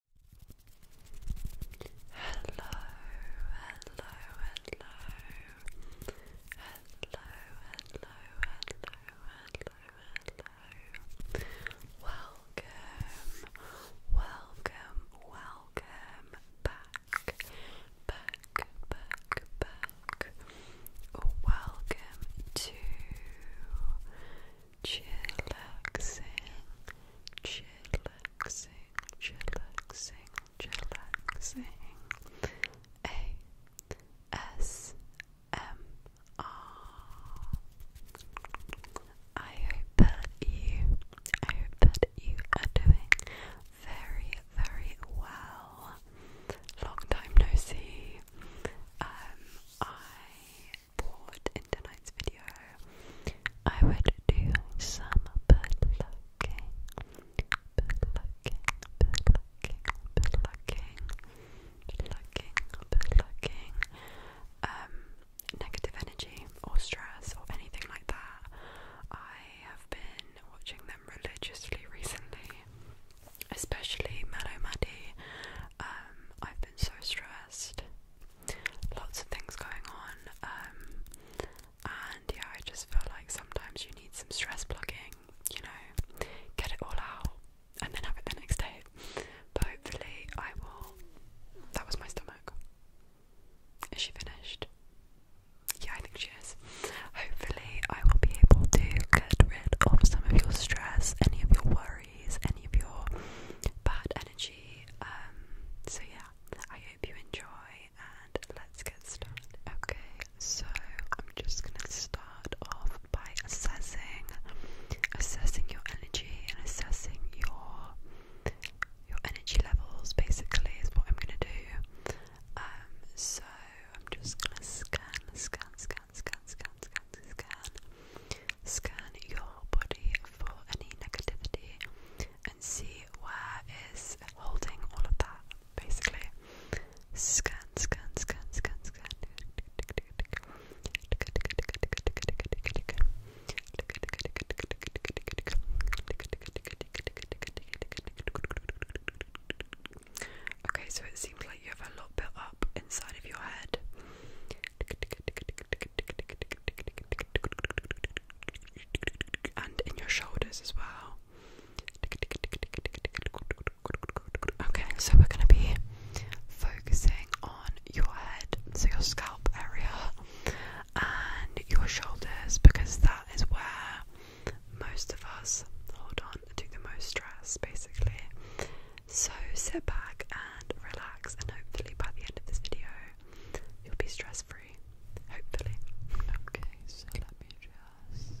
hello, hello, hello, hello, hello, hello, hello. Welcome, welcome, welcome back, back, back, back. Welcome to chillaxing, chillaxing, chillaxing, chillaxing. A S M R. I hope that you, I hope that you are doing very, very well. Long time no see. Um, I in tonight's video, I would do some bird looking, bird looking, bird looking, um, negative energy or stress or anything like that. I have been watching them religiously recently, especially Mellow Maddie. Um, I've been so stressed lots of things going on. Um, and yeah, I just feel like sometimes you need some stress plugging, you know, get it all out and then have it the next day. But hopefully, I will. That was my stomach. Is she finished? Yeah, I think she is. Hopefully, I will be able to get rid of some of your stress, any of your worries any of your bad energy. Um, so, yeah, I hope you enjoy and let's get started. Okay, so I'm just gonna start off by assessing, assessing your energy and assessing your your energy levels. Basically, is what I'm gonna do. Um, so I'm just gonna scan, scan, scan, scan, scan, scan, scan, scan. Scan your body for any negativity and see where is holding all of that, basically. Scan, scan, scan, scan, scan. Okay, so it seems like you have a lot bit up inside of your head. And in your shoulders as well. Okay, so we're going to be focusing on your head, so your scalp area, and your shoulders because that is where most of us, hold on on do the most stress basically. So sit back and relax, and hopefully, by the end of this video, you'll be stress free. Hopefully. Okay, so let me just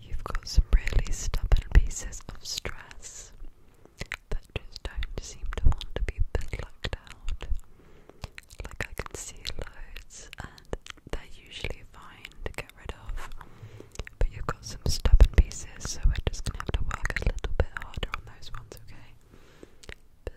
You've got some really stubborn pieces of stress that just don't seem to want to be plucked out. Like I can see loads, and they're usually fine to get rid of, but you've got some stubborn pieces, so we're just gonna have to work a little bit harder on those ones, okay?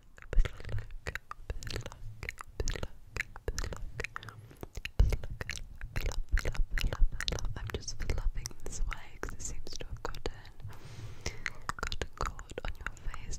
I'm just loving this way it seems to have gotten gotten on your face.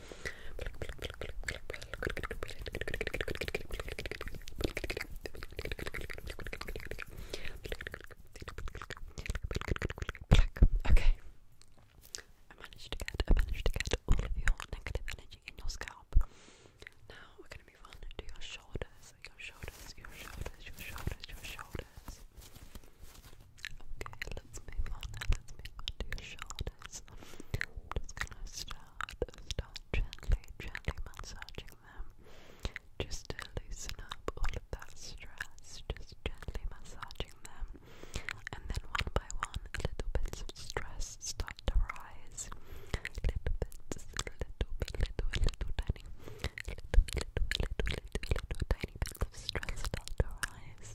Okay. I managed to get I managed to get all of your negative energy in your scalp. Now we're gonna move on to your shoulders, your shoulders, your shoulders, your shoulders, your shoulders. Okay, let's move on Let's move on shoulders. I'm just gonna start, start gently, gently massaging them. Just to loosen up all of that stress. Just gently massaging them. And then one by one, little bits of stress start to rise. Little bits, little bit, little, little tiny, little, little, little, little, little, tiny bits of stress start to rise.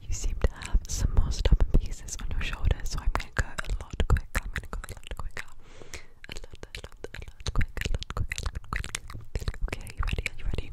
You seem to have some more stubborn pieces on your shoulder, so I'm going to go a lot quicker. I'm going to go a lot quicker. A lot, a lot, a lot quicker, Okay, you ready? you ready?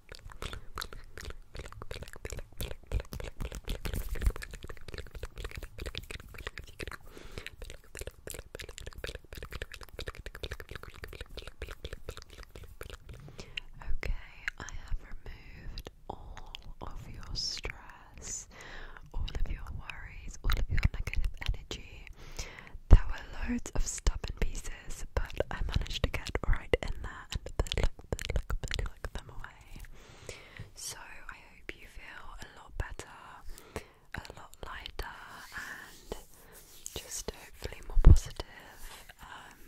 Okay, I have removed all of your stress, all of your worries, all of your negative energy. There were loads of stubborn pieces, but I managed to get right in there and pluck, pluck, pluck them away. So I hope you feel a lot better, a lot lighter, and just hopefully more positive. Um,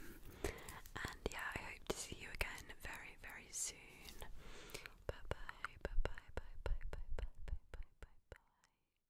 and yeah, I hope to see you again very, very soon. Bye bye, bye bye, bye bye, bye bye, bye bye, bye bye.